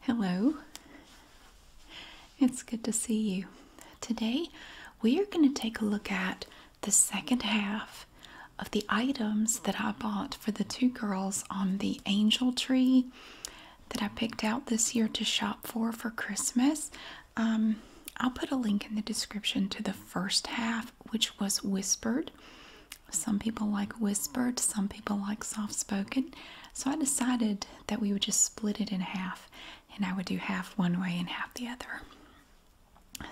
Hello, it's good to see you. Today we are going to take a look at the second half of the items that I bought for the two girls on the angel tree that I picked out this year to shop for for Christmas. Um, I'll put a link in the description to the first half, which was whispered, some people like whispered, some people like soft spoken. So I decided that we would just split it in half and I would do half one way and half the other.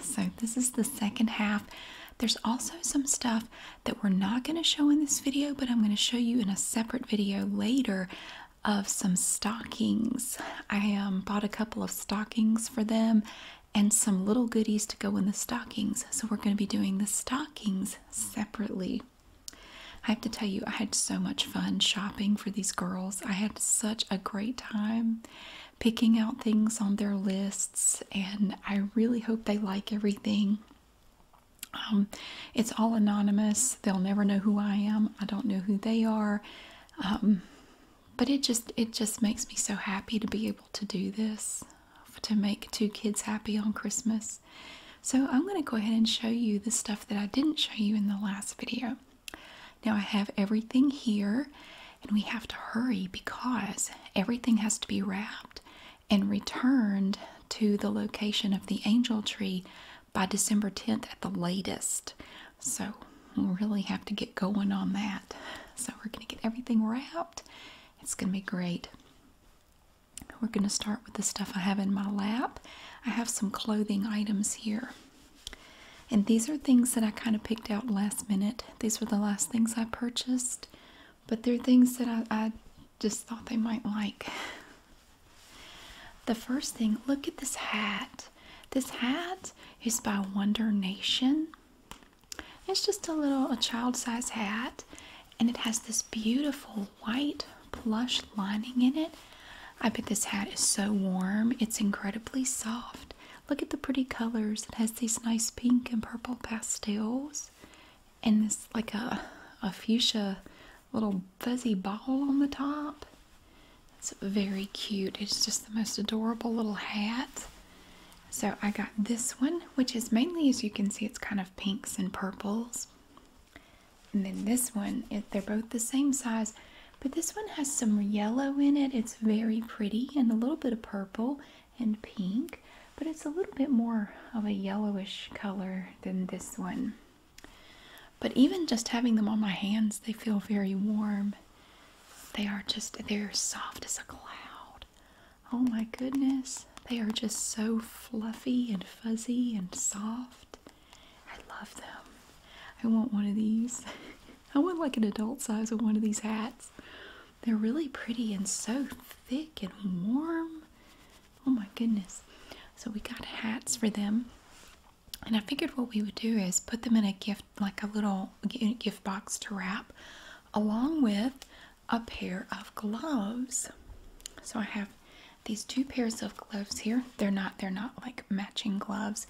So this is the second half. There's also some stuff that we're not going to show in this video, but I'm going to show you in a separate video later of some stockings. I um, bought a couple of stockings for them and some little goodies to go in the stockings. So we're going to be doing the stockings separately. I have to tell you, I had so much fun shopping for these girls. I had such a great time picking out things on their lists, and I really hope they like everything. Um, it's all anonymous. They'll never know who I am. I don't know who they are. Um, but it just it just makes me so happy to be able to do this to make two kids happy on Christmas. So I'm going to go ahead and show you the stuff that I didn't show you in the last video. Now I have everything here and we have to hurry because everything has to be wrapped and returned to the location of the angel tree by December 10th at the latest. So we really have to get going on that. So we're going to get everything wrapped. It's going to be great. We're going to start with the stuff I have in my lap. I have some clothing items here. And these are things that I kind of picked out last minute. These were the last things I purchased, but they're things that I, just thought they might like. The first thing, look at this hat. This hat is by Wonder Nation. It's just a little a child-size hat and it has this beautiful white plush lining in it. I bet this hat is so warm. It's incredibly soft. Look at the pretty colors. It has these nice pink and purple pastels and this like a a fuchsia little fuzzy ball on the top. It's very cute. It's just the most adorable little hat. So I got this one, which is mainly, as you can see, it's kind of pinks and purples. And then this one, they're both the same size, but this one has some yellow in it. It's very pretty and a little bit of purple and pink, but it's a little bit more of a yellowish color than this one. But even just having them on my hands, they feel very warm. They are just, they're soft as a cloud. Oh my goodness, they are just so fluffy and fuzzy and soft. I love them. I want one of these. I want like an adult size of one of these hats. They're really pretty and so thick and warm. Oh my goodness. So we got hats for them. And I figured what we would do is put them in a gift, like a little gift box to wrap, along with a pair of gloves. So I have these two pairs of gloves here. They're not they're not like matching gloves.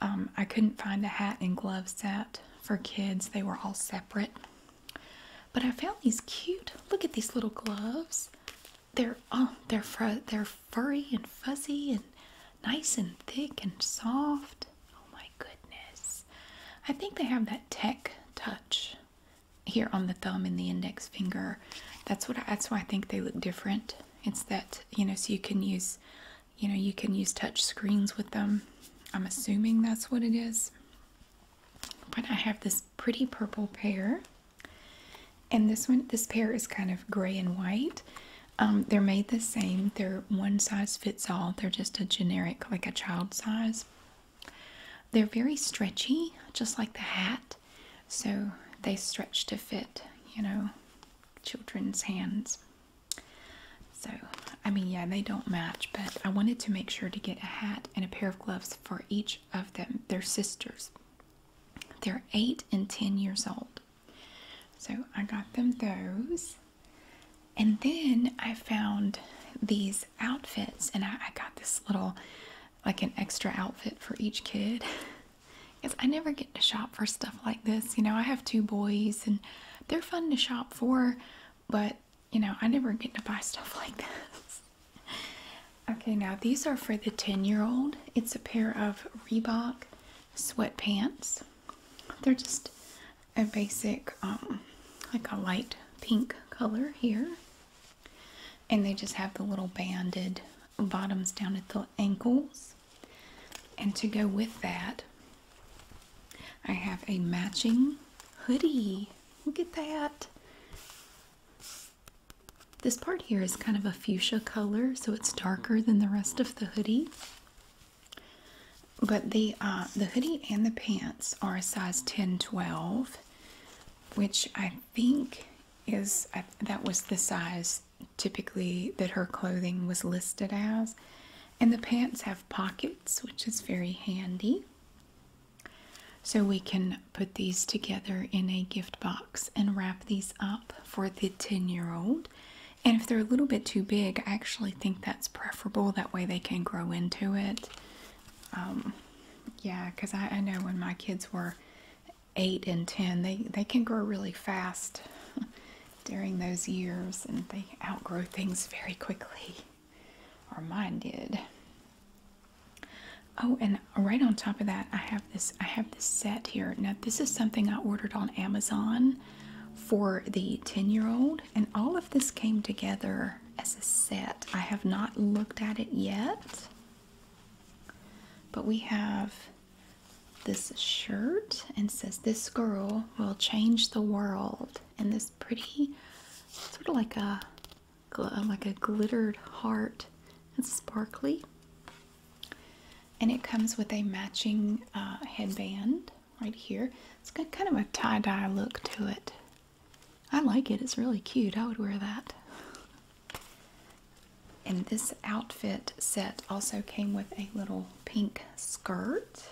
Um, I couldn't find a hat and glove set for kids. They were all separate. But I found these cute. Look at these little gloves. They're oh they're fr they're furry and fuzzy and nice and thick and soft. Oh my goodness. I think they have that tech touch here on the thumb and the index finger. That's what I, that's why I think they look different. It's that you know, so you can use, you know, you can use touch screens with them. I'm assuming that's what it is. But I have this pretty purple pair, and this one, this pair is kind of gray and white. Um, they're made the same. They're one size fits all. They're just a generic, like a child size. They're very stretchy, just like the hat. So they stretch to fit, you know, children's hands. So, I mean, yeah, they don't match, but I wanted to make sure to get a hat and a pair of gloves for each of them, their sisters. They're 8 and 10 years old. So I got them those. And then I found these outfits, and I got this little like an extra outfit for each kid. Because I never get to shop for stuff like this. You know, I have two boys and they're fun to shop for, but you know, I never get to buy stuff like this. okay, now these are for the 10 year old. It's a pair of Reebok sweatpants. They're just a basic, um, like a light pink color here. And they just have the little banded bottoms down at the ankles. And to go with that, I have a matching hoodie. Look at that. This part here is kind of a fuchsia color, so it's darker than the rest of the hoodie but the uh, the hoodie and the pants are a size 10 12 which i think is that was the size typically that her clothing was listed as and the pants have pockets which is very handy so we can put these together in a gift box and wrap these up for the 10 year old and if they're a little bit too big i actually think that's preferable that way they can grow into it um, yeah, because I, I know when my kids were eight and ten, they, they can grow really fast during those years and they outgrow things very quickly, or mine did. Oh, and right on top of that, I have this I have this set here. Now, this is something I ordered on Amazon for the 10-year-old, and all of this came together as a set. I have not looked at it yet, but we have this shirt and says, This girl will change the world. And this pretty, sort of like a like a glittered heart. It's sparkly. And it comes with a matching uh, headband right here. It's got kind of a tie-dye look to it. I like it. It's really cute. I would wear that. And this outfit set also came with a little pink skirt,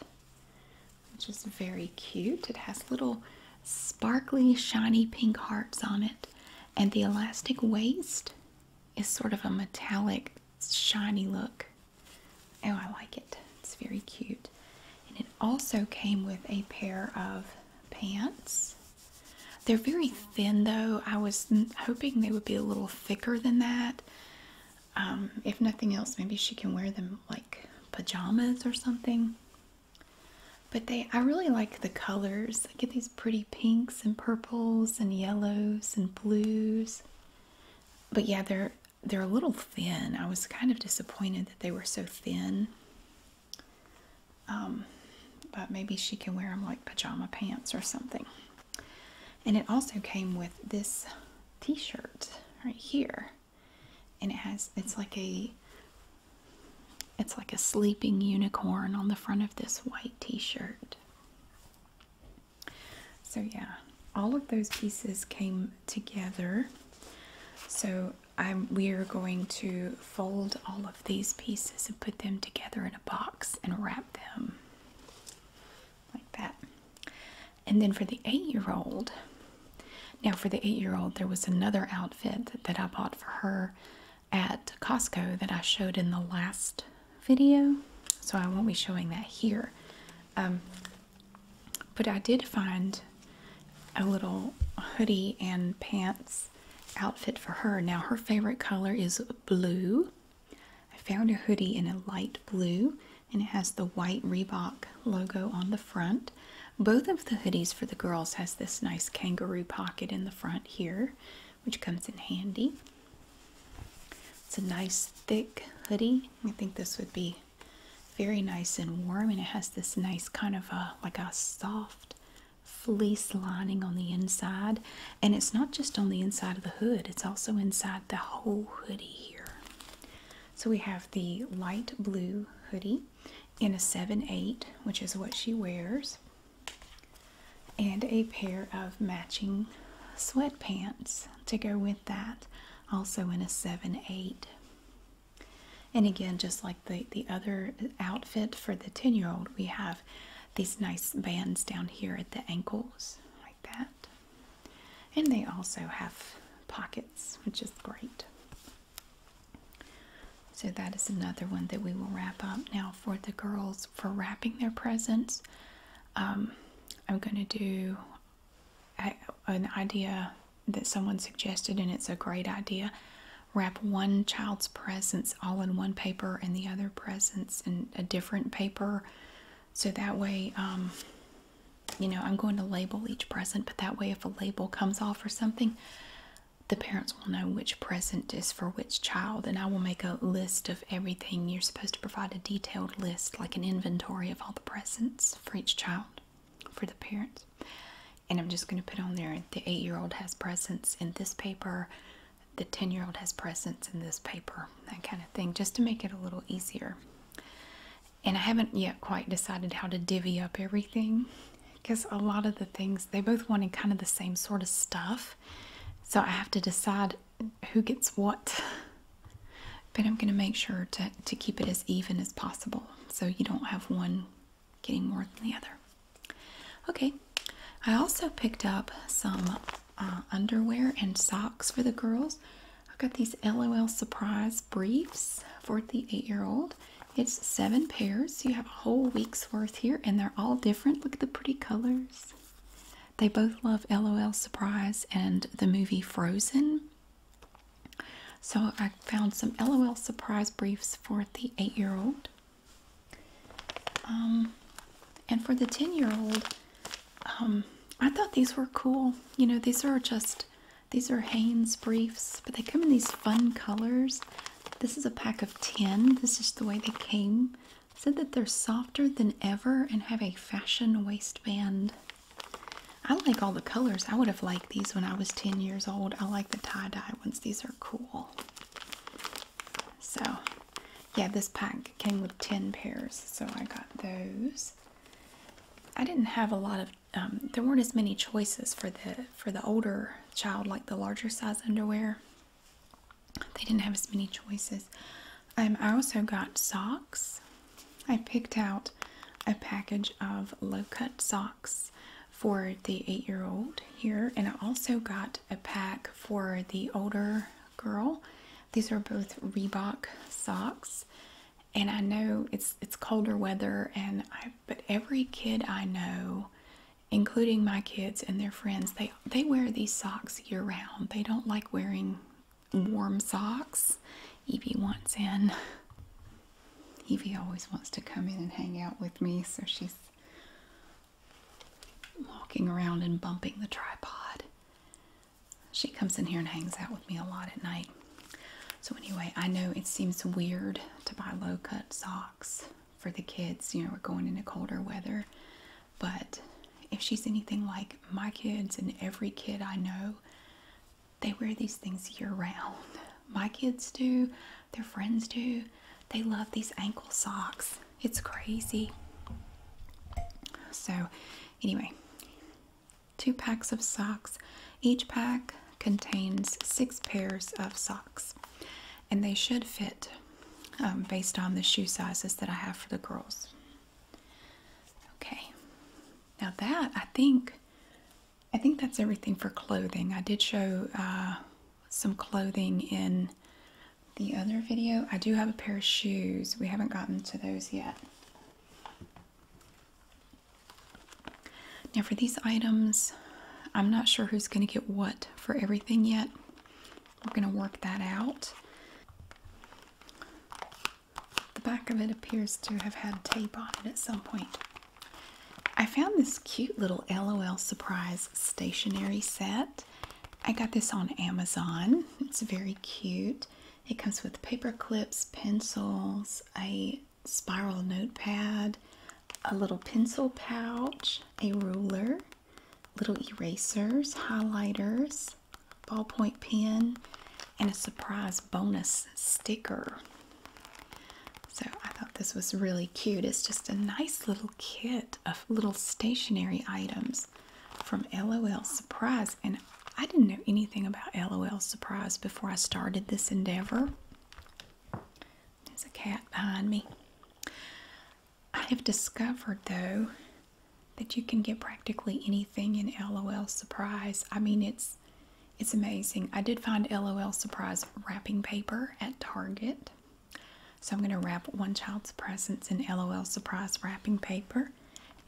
which is very cute. It has little sparkly, shiny pink hearts on it. And the elastic waist is sort of a metallic, shiny look. Oh, I like it. It's very cute. And it also came with a pair of pants. They're very thin though. I was hoping they would be a little thicker than that. Um, if nothing else, maybe she can wear them like pajamas or something. But they, I really like the colors. I get these pretty pinks and purples and yellows and blues. But yeah, they're they're a little thin. I was kind of disappointed that they were so thin. Um, but maybe she can wear them like pajama pants or something. And it also came with this t-shirt right here. And it has it's like a it's like a sleeping unicorn on the front of this white t-shirt. So yeah, all of those pieces came together so um, we are going to fold all of these pieces and put them together in a box and wrap them like that. And then for the eight-year-old, now for the eight-year-old, there was another outfit that, I bought for her at Costco that I showed in the last video. So I won't be showing that here. Um, but I did find a little hoodie and pants outfit for her. Now, her favorite color is blue. I found a hoodie in a light blue and it has the white Reebok logo on the front. Both of the hoodies for the girls has this nice kangaroo pocket in the front here, which comes in handy. It's a nice thick hoodie. I think this would be very nice and warm, and it has this nice kind of a uh, like a soft fleece lining on the inside. And it's not just on the inside of the hood, it's also inside the whole hoodie here. So we have the light blue hoodie in a 7-8, which is what she wears, and a pair of matching sweatpants to go with that, also in a 7 8. And again, just like the, the other outfit for the 10 year old, we have these nice bands down here at the ankles, like that. And they also have pockets, which is great. So, that is another one that we will wrap up now for the girls for wrapping their presents. Um, I'm going to do an idea that someone suggested, and it's a great idea. Wrap one child's presents all in one paper and the other presents in a different paper. So that way, um, you know, I'm going to label each present, but that way, if a label comes off or something, the parents will know which present is for which child. And I will make a list of everything. You're supposed to provide a detailed list, like an inventory of all the presents for each child for the parents. And I'm just going to put on there the eight year old has presents in this paper, the 10 year old has presents in this paper, that kind of thing, just to make it a little easier. And I haven't yet quite decided how to divvy up everything because a lot of the things they both wanted kind of the same sort of stuff. So I have to decide who gets what. But I'm going to make sure to, to keep it as even as possible so you don't have one getting more than the other. Okay, I also picked up some uh, underwear and socks for the girls. I've got these LOL surprise briefs for the eight year old. It's seven pairs. You have a whole week's worth here, and they're all different. Look at the pretty colors. They both love LOL Surprise and the movie Frozen. So I found some LOL surprise briefs for the eight year old. Um, and for the 10 year old, um, I thought these were cool. You know, these are just, these are Hanes briefs, but they come in these fun colors. This is a pack of 10. This is the way they came. said that they're softer than ever and have a fashion waistband. I like all the colors. I would have liked these when I was 10 years old. I like the tie-dye ones. These are cool. So, yeah, this pack came with 10 pairs, so I got those. I didn't have a lot of um, there weren't as many choices for the for the older child like the larger size underwear. They didn't have as many choices. I also got socks. I picked out a package of low cut socks for the eight year old here, and I also got a pack for the older girl. These are both Reebok socks. And I know it's it's colder weather and but every kid I know, including my kids and their friends, they they wear these socks year round. They don't like wearing warm socks. Evie wants in. Evie always wants to come in and hang out with me, so she's walking around and bumping the tripod. She comes in here and hangs out with me a lot at night. So, anyway, I know it seems weird to buy low cut socks for the kids. You know, we're going into colder weather, but if she's anything like my kids and every kid I know, they wear these things year round. My kids do, their friends do. They love these ankle socks. It's crazy. So, anyway, two packs of socks. Each pack contains six pairs of socks, and they should fit um, based on the shoe sizes that I have for the girls. Okay. Now that I think I think that's everything for clothing. I did show uh, some clothing in the other video. I do have a pair of shoes. We haven't gotten to those yet. Now for these items, I'm not sure who's going to get what for everything yet. We're going to work that out. The back of it appears to have had tape on it at some point. I found this cute little LOL Surprise stationery set. I got this on Amazon. It's very cute. It comes with paper clips, pencils, a spiral notepad, a little pencil pouch, a ruler, little erasers, highlighters, ballpoint pen and a surprise bonus sticker. So I thought this was really cute. It's just a nice little kit of little stationery items from LOL Surprise. And I didn't know anything about LOL Surprise before I started this endeavor. There's a cat behind me. I have discovered, though, that you can get practically anything in LOL Surprise. I mean, it's it's amazing. I did find LOL Surprise wrapping paper at Target. So I'm going to wrap one child's presents in LOL Surprise wrapping paper.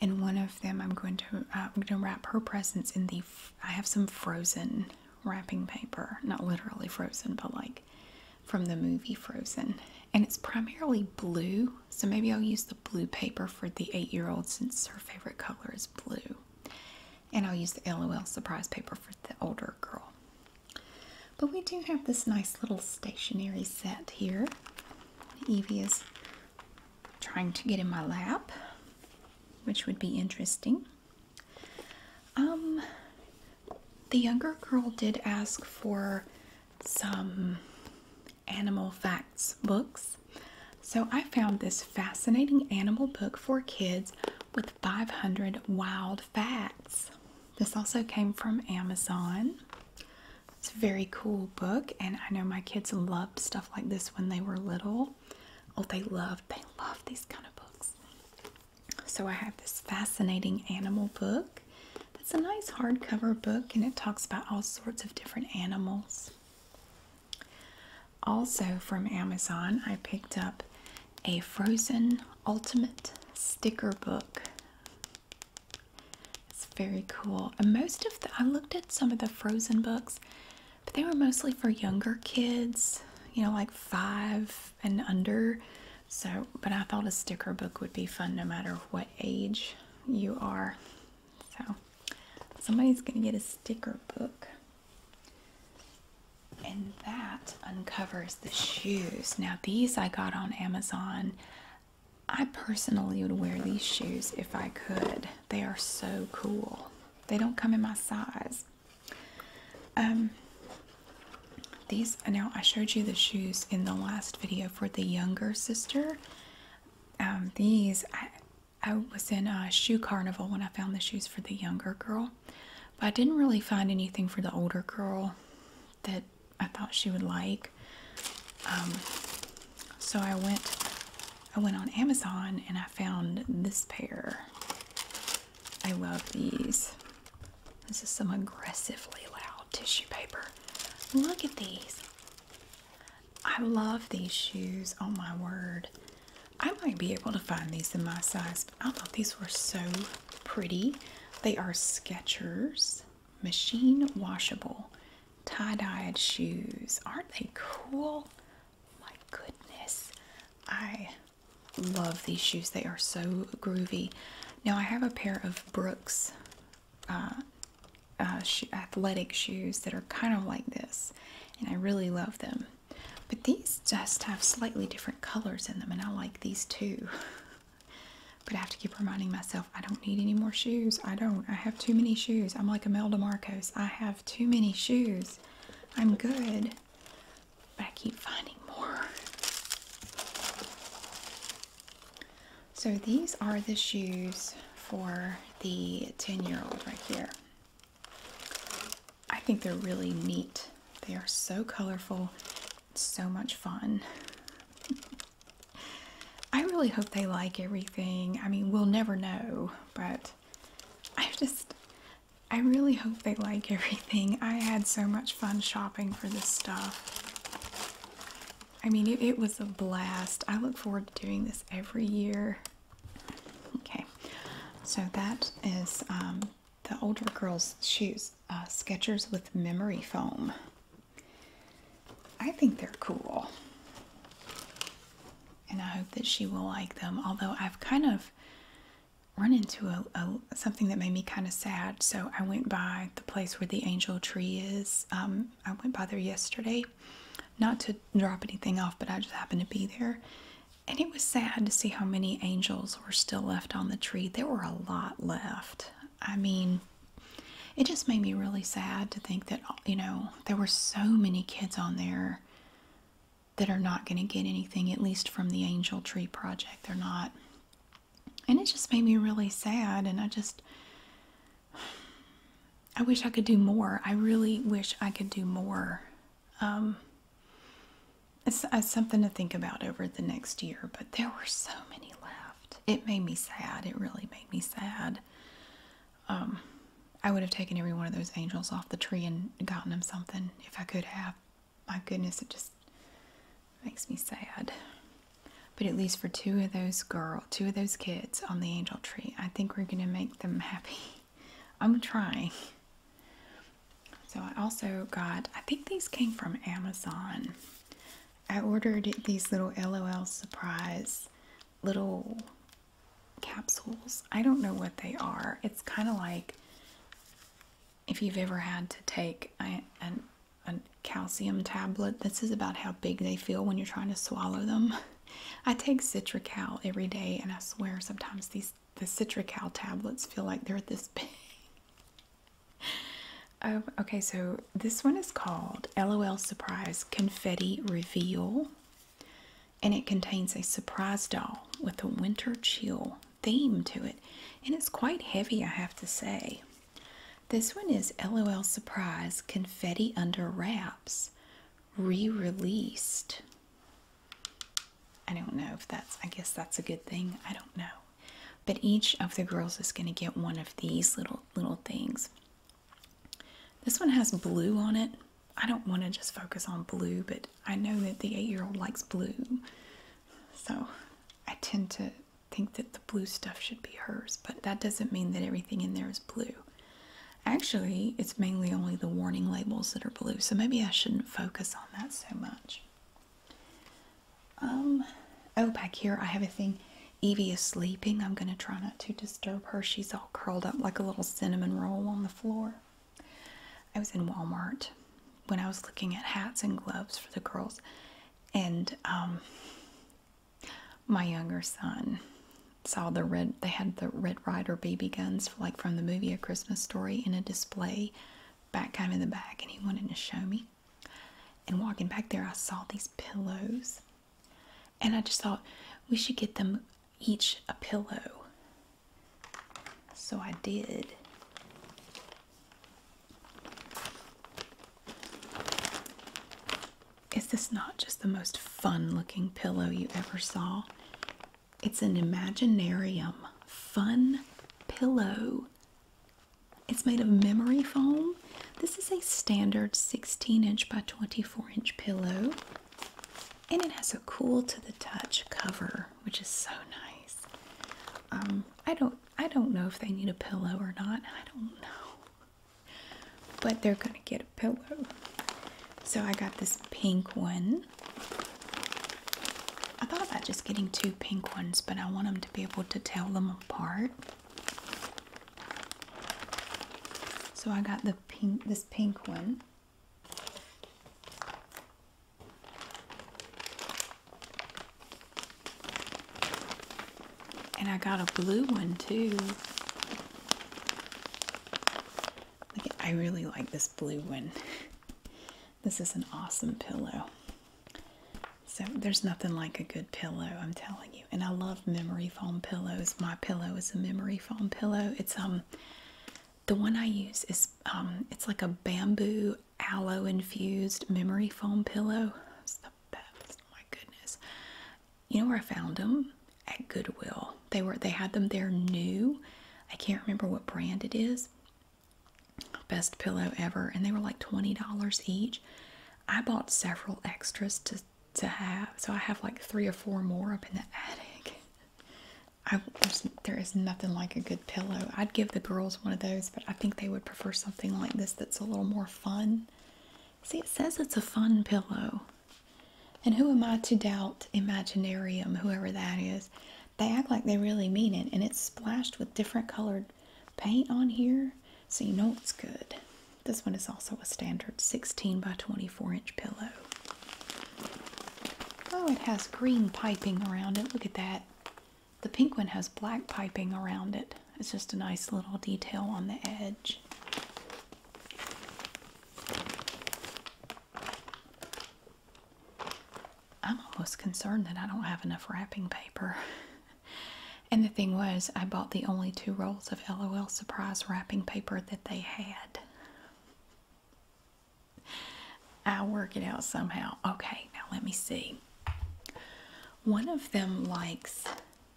And one of them, I'm going to uh, I'm going to wrap her presents in the. I have some frozen wrapping paper, not literally frozen, but like from the movie Frozen, and it's primarily blue. So maybe I'll use the blue paper for the eight year old since her favorite color is blue. And I'll use the LOL surprise paper for the older girl. But we do have this nice little stationery set here. Evie is trying to get in my lap, which would be interesting. Um, the younger girl did ask for some animal facts books. So I found this fascinating animal book for kids with 500 wild facts. This also came from Amazon. It's a very cool book, and I know my kids loved stuff like this when they were little. Oh, they loved, they love these kind of books. So I have this fascinating animal book. It's a nice hardcover book and it talks about all sorts of different animals. Also, from Amazon, I picked up a Frozen Ultimate sticker book. It's very cool. And most of the, I looked at some of the Frozen books, but they were mostly for younger kids, you know, like five and under. So, but I thought a sticker book would be fun no matter what age you are. So somebody's going to get a sticker book. And that uncovers the shoes. Now these I got on Amazon. I personally would wear these shoes if I could. They are so cool. They don't come in my size. Um these now I showed you the shoes in the last video for the younger sister um, these, I, was in a shoe carnival when I found the shoes for the younger girl, but I didn't really find anything for the older girl that I thought she would like. Um, so I went, I went on Amazon and I found this pair. I love these. This is some aggressively loud tissue paper. Look at these. I love these shoes. Oh my word. I might be able to find these in my size. I thought these were so pretty. They are Skechers machine washable tie-dyed shoes. Aren't they cool? My goodness. I love these shoes. They are so groovy. Now I have a pair of Brooks uh, uh, athletic shoes that are kind of like this, and I really love them. But these just have slightly different colors in them, and I like these too. but I have to keep reminding myself I don't need any more shoes. I don't. I have too many shoes. I'm like Imelda Marcos. I have too many shoes. I'm good, but I keep finding more. So these are the shoes for the 10 year old right here. I think they're really neat. They are so colorful, so much fun. I really hope they like everything. I mean, we'll never know, but I just, I really hope they like everything. I had so much fun shopping for this stuff. I mean, it, was a blast. I look forward to doing this every year. Okay, so that is um, the older girl's shoes, uh, Skechers with memory foam. I think they're cool. And I hope that she will like them, although I've kind of run into a something that made me kind of sad. So I went by the place where the angel tree is. Um, I went by there yesterday, not to drop anything off, but I just happened to be there. And it was sad to see how many angels were still left on the tree. There were a lot left. I mean, it just made me really sad to think that, you know, there were so many kids on there that are not going to get anything, at least from the Angel Tree Project. They're not and it just made me really sad and i just i wish i could do more i really wish i could do more um, it's, something to think about over the next year but there were so many left it made me sad it really made me sad um, i would have taken every one of those angels off the tree and gotten them something if i could have my goodness it just Makes me sad. But at least for two of those girl, two of those kids on the angel tree, I think we're gonna make them happy. I'm trying. So I also got, I think these came from Amazon. I ordered these little LOL surprise little capsules. I don't know what they are. It's kind of like if you've ever had to take a, an a calcium tablet. This is about how big they feel when you're trying to swallow them. I take Citrical every day, and I swear sometimes these the Citrical tablets feel like they're this big. Oh, okay, so this one is called LOL Surprise Confetti Reveal, and it contains a surprise doll with a winter chill theme to it, and it's quite heavy, I have to say. This one is LOL Surprise Confetti Under Wraps re released. I don't know if that's, I guess that's a good thing. I don't know. But each of the girls is going to get one of these little, little things. This one has blue on it. I don't want to just focus on blue, but I know that the eight year old likes blue. So I tend to think that the blue stuff should be hers, but that doesn't mean that everything in there is blue. Actually, it's mainly only the warning labels that are blue, so maybe I shouldn't focus on that so much. Um, oh, back here I have a thing. Evie is sleeping. I'm going to try not to disturb her. She's all curled up like a little cinnamon roll on the floor. I was in Walmart when I was looking at hats and gloves for the girls, and um, my younger son saw the red they had the red rider baby guns like from the movie a christmas story in a display back kind of in the back and he wanted to show me and walking back there i saw these pillows and i just thought we should get them each a pillow so i did is this not just the most fun looking pillow you ever saw? It's an Imaginarium fun pillow. It's made of memory foam. This is a standard 16 inch by 24 inch pillow. And it has a cool to the touch cover, which is so nice. Um, I don't I don't know if they need a pillow or not. I don't know. But they're going to get a pillow. So I got this pink one. I thought about just getting two pink ones, but I want them to be able to tell them apart. So I got the pink this pink one. And I got a blue one too. I really like this blue one. This is an awesome pillow. So there's nothing like a good pillow, I'm telling you. And I love memory foam pillows. My pillow is a memory foam pillow. It's um the one I use is um it's like a bamboo aloe infused memory foam pillow. It's the best. Oh my goodness. You know where I found them? At Goodwill. They were they had them there new. I can't remember what brand it is. Best pillow ever. And they were like $20 each. I bought several extras to to have. So I have like three or four more up in the attic. there is nothing like a good pillow. I'd give the girls one of those, but I think they would prefer something like this that's a little more fun. See, it says it's a fun pillow. And who am I to doubt Imaginarium, whoever that is? They act like they really mean it, and it's splashed with different colored paint on here, so you know it's good. This one is also a standard 16 by 24 inch pillow. Oh, it has green piping around it. Look at that. The pink one has black piping around it. It's just a nice little detail on the edge. I'm almost concerned that I don't have enough wrapping paper. and the thing was, I bought the only two rolls of LOL Surprise wrapping paper that they had. I'll work it out somehow. Okay, now let me see. One of them likes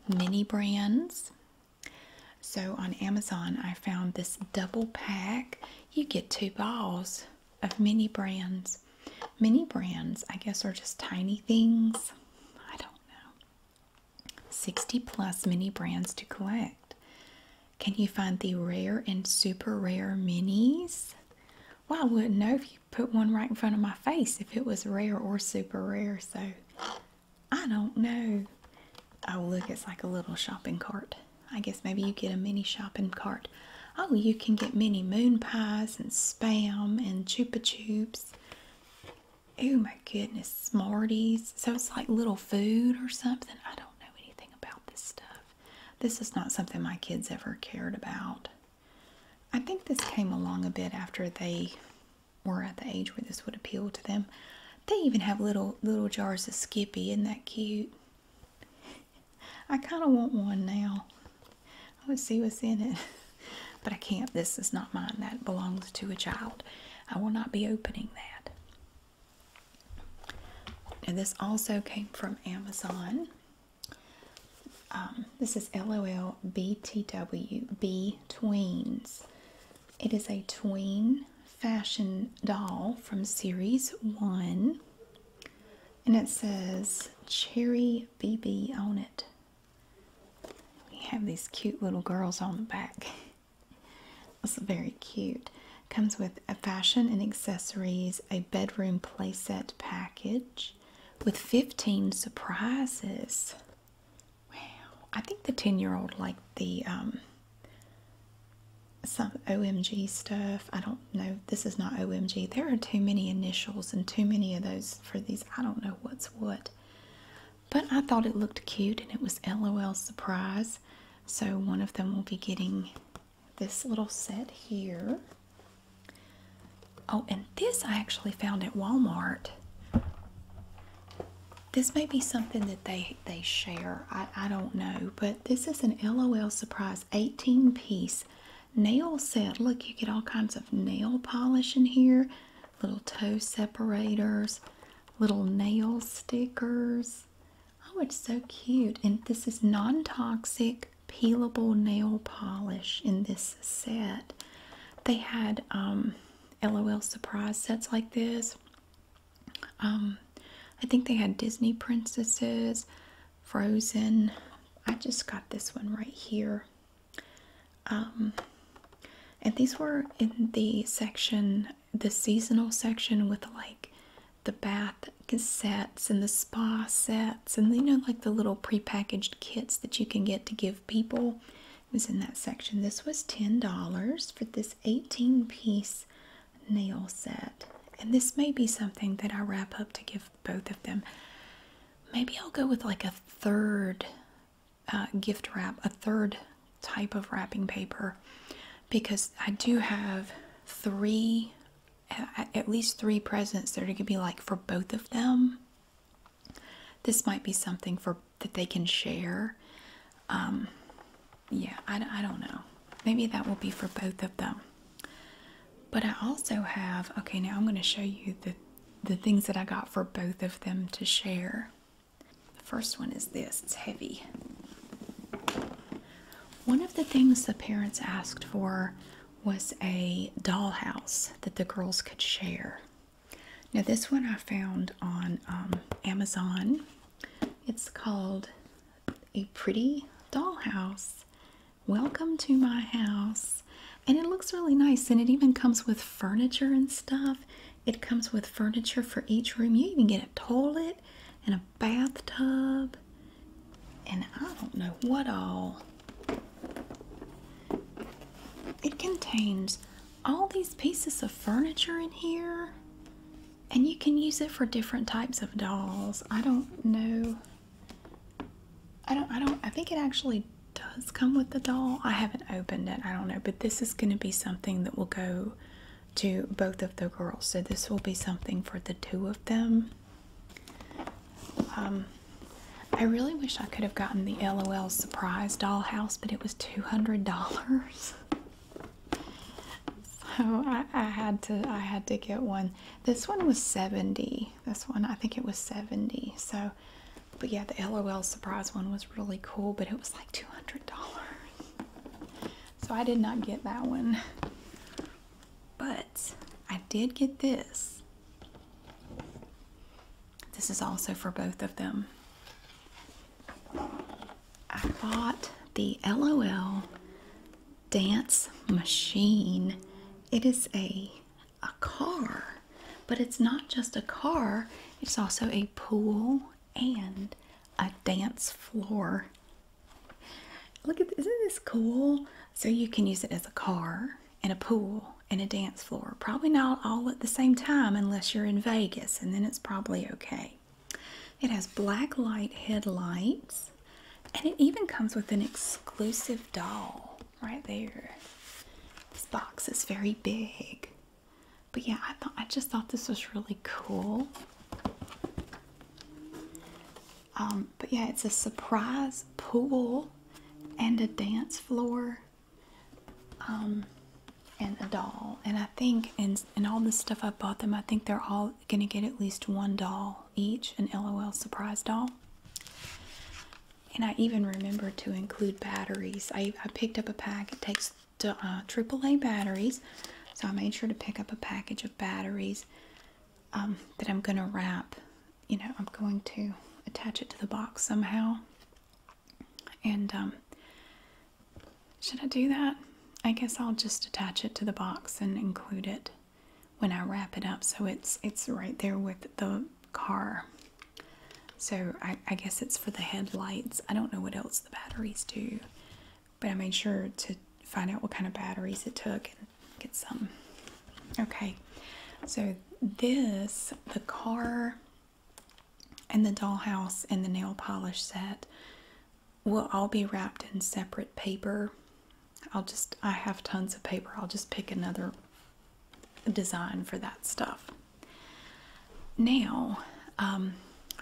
mini brands. So on Amazon, I found this double pack. You get two balls of mini brands. Mini brands, I guess, are just tiny things. I don't know. 60 plus mini brands to collect. Can you find the rare and super rare minis? Well, I wouldn't know if you put one right in front of my face if it was rare or super rare, so I don't know. Oh, look, it's like a little shopping cart. I guess maybe you get a mini shopping cart. Oh, you can get mini moon pies and spam and chupa chups. Oh my goodness, Smarties. So it's like little food or something. I don't know anything about this stuff. This is not something my kids ever cared about. I think this came along a bit after they were at the age where this would appeal to them. They even have little little jars of Skippy. Isn't that cute? I kind of want one now. I would see what's in it. But I can't. This is not mine. That belongs to a child. I will not be opening that. And this also came from Amazon. Um, this is LOL BTW B It is a tween fashion doll from series one, and it says Cherry BB on it. We have these cute little girls on the back. it's very cute. Comes with a fashion and accessories, a bedroom playset package with 15 surprises. Wow. I think the 10 year old liked the um, some OMG stuff. I don't know. This is not OMG. There are too many initials and too many of those for these. I don't know what's what. But I thought it looked cute and it was LOL surprise. So one of them will be getting this little set here. Oh, and this I actually found at Walmart. This may be something that they, they share. I, I don't know. But this is an LOL Surprise 18 piece nail set. Look, you get all kinds of nail polish in here, little toe separators, little nail stickers. Oh, it's so cute. And this is non toxic peelable nail polish in this set. They had LOL um, surprise sets like this. Um, I think they had Disney princesses, Frozen. I just got this one right here. Um, and these were in the section, the seasonal section with like the bath sets and the spa sets and you know like the little prepackaged kits that you can get to give people was in that section this was $10 for this 18 piece nail set and this may be something that i wrap up to give both of them maybe i'll go with like a third uh, gift wrap a third type of wrapping paper because i do have three at least three presents that are going to be like for both of them. This might be something for that they can share. Um, yeah, I, I don't know. Maybe that will be for both of them. But I also have, okay, now I'm going to show you the, the things that I got for both of them to share. The first one is this, it's heavy. One of the things the parents asked for was a dollhouse that the girls could share. Now, this one I found on um, Amazon. It's called A Pretty Dollhouse. Welcome to my house. And it looks really nice, and it even comes with furniture and stuff. It comes with furniture for each room. You even get a toilet and a bathtub and I don't know what all. It contains all these pieces of furniture in here and you can use it for different types of dolls. I don't know. I don't I don't I think it actually does come with the doll. I haven't opened it. I don't know, but this is going to be something that will go to both of the girls. So this will be something for the two of them. Um, I really wish I could have gotten the LOL surprise dollhouse, but it was $200. so I, I had to I had to get one. This one was 70. This one I think it was 70. So but yeah, the LOL surprise one was really cool, but it was like $200. So I did not get that one. But I did get this. This is also for both of them. I bought the LOL Dance Machine. It is a, a car, but it's not just a car, it's also a pool and a dance floor Look at this! isn't this cool? So you can use it as a car and a pool and a dance floor. Probably not all at the same time unless you're in Vegas and then it's probably okay. It has black light headlights and it even comes with an exclusive doll right there. This box is very big. But yeah, I thought I just thought this was really cool. Um, but yeah, it's a surprise pool and a dance floor um, and a doll. And I think, and, and all the stuff I bought them, I think they're all going to get at least one doll each, an LOL surprise doll. And I even remember to include batteries. I, I picked up a pack. It takes AAA uh, batteries. So I made sure to pick up a package of batteries. Um, that I'm going to wrap. You know, I'm going to attach it to the box somehow. And um, should I do that? I guess I'll just attach it to the box and include it when I wrap it up so it's it's right there with the car. So I guess it's for the headlights. I don't know what else the batteries do but I made sure to find out what kind of batteries it took and get some. Okay, so this, the car and the dollhouse and the nail polish set will all be wrapped in separate paper. I'll just, I have tons of paper. I'll just pick another design for that stuff. Now, um,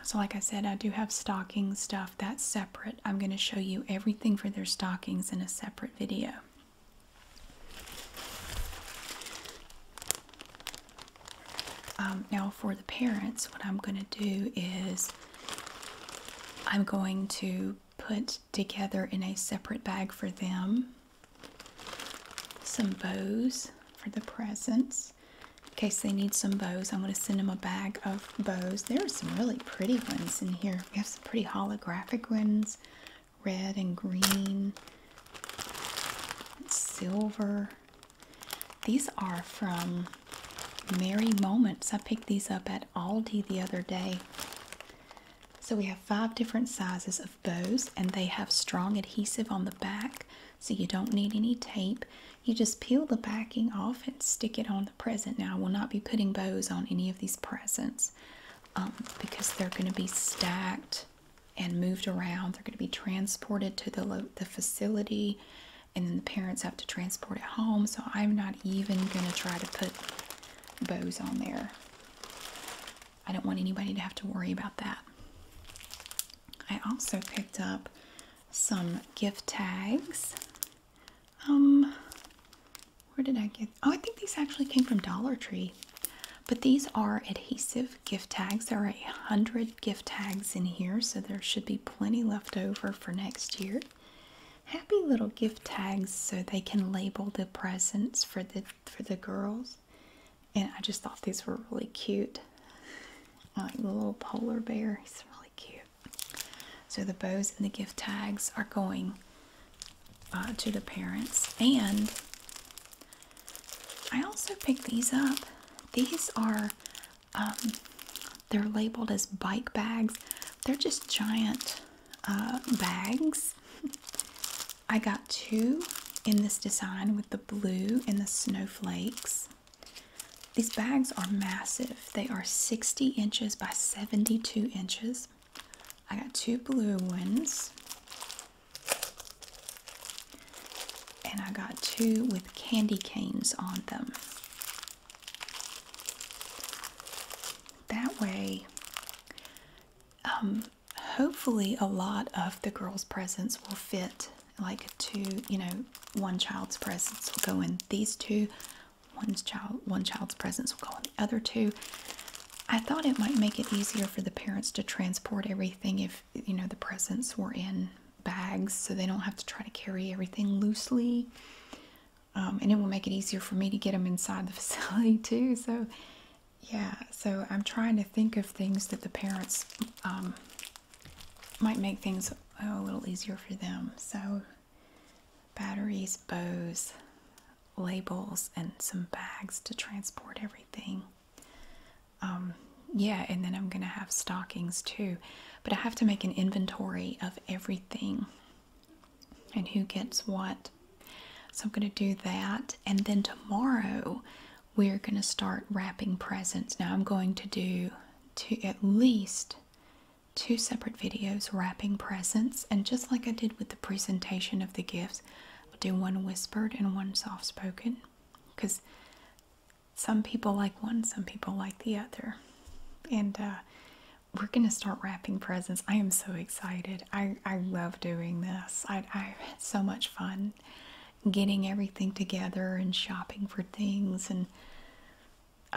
so like I said, I do have stocking stuff that's separate. I'm going to show you everything for their stockings in a separate video. Um, now, for the parents, what I'm going to do is I'm going to put together in a separate bag for them some bows for the presents. In case they need some bows, I'm going to send them a bag of bows. There are some really pretty ones in here. We have some pretty holographic ones red and green, silver. These are from Merry Moments. I picked these up at Aldi the other day. So we have five different sizes of bows, and they have strong adhesive on the back, so you don't need any tape. You just peel the backing off and stick it on the present. Now I will not be putting bows on any of these presents um, because they're going to be stacked and moved around. They're going to be transported to the, the facility and then the parents have to transport it home. So I'm not even going to try to put bows on there. I don't want anybody to have to worry about that. I also picked up some gift tags um, where did I get? Oh, I think these actually came from Dollar Tree. But these are adhesive gift tags. There are a hundred gift tags in here, so there should be plenty left over for next year. Happy little gift tags so they can label the presents for the for the girls. And I just thought these were really cute. like little polar bear. He's really cute. So the bows and the gift tags are going uh, to the parents. And I also picked these up. These are, um, they're labeled as bike bags. They're just giant uh, bags. I got two in this design with the blue and the snowflakes. These bags are massive. They are 60 inches by 72 inches. I got two blue ones. And I got two with candy canes on them. That way, um, hopefully, a lot of the girls' presents will fit like two, you know, one child's presents will go in these two, One child one child's presents will go in the other two. I thought it might make it easier for the parents to transport everything if you know the presents were in bags so they don't have to try to carry everything loosely. Um, and it will make it easier for me to get them inside the facility too. So, yeah, so I'm trying to think of things that the parents um, might make things a little easier for them. So, batteries, bows, labels, and some bags to transport everything. Um, yeah, and then I'm going to have stockings too. But I have to make an inventory of everything and who gets what. So I'm going to do that. And then tomorrow, we're going to start wrapping presents. Now I'm going to do to at least two separate videos wrapping presents, and just like I did with the presentation of the gifts, I'll do one whispered and one soft spoken because some people like one, some people like the other. And uh, we're going to start wrapping presents. I am so excited. I, I love doing this. I, I had so much fun getting everything together and shopping for things and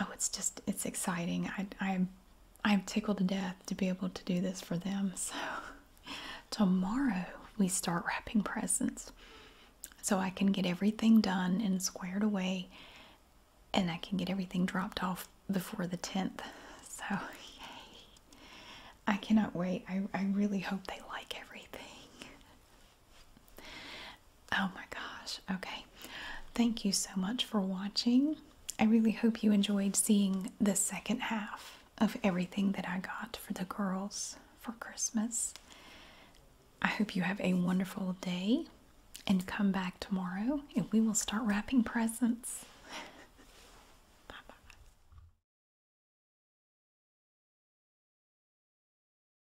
oh, it's just it's exciting. I I'm I'm tickled to death to be able to do this for them. So tomorrow we start wrapping presents. So I can get everything done and squared away and I can get everything dropped off before the 10th. So yay. I cannot wait. I, I really hope they like everything. Oh my gosh. Okay. Thank you so much for watching. I really hope you enjoyed seeing the second half of everything that I got for the girls for Christmas. I hope you have a wonderful day and come back tomorrow and we will start wrapping presents. bye bye.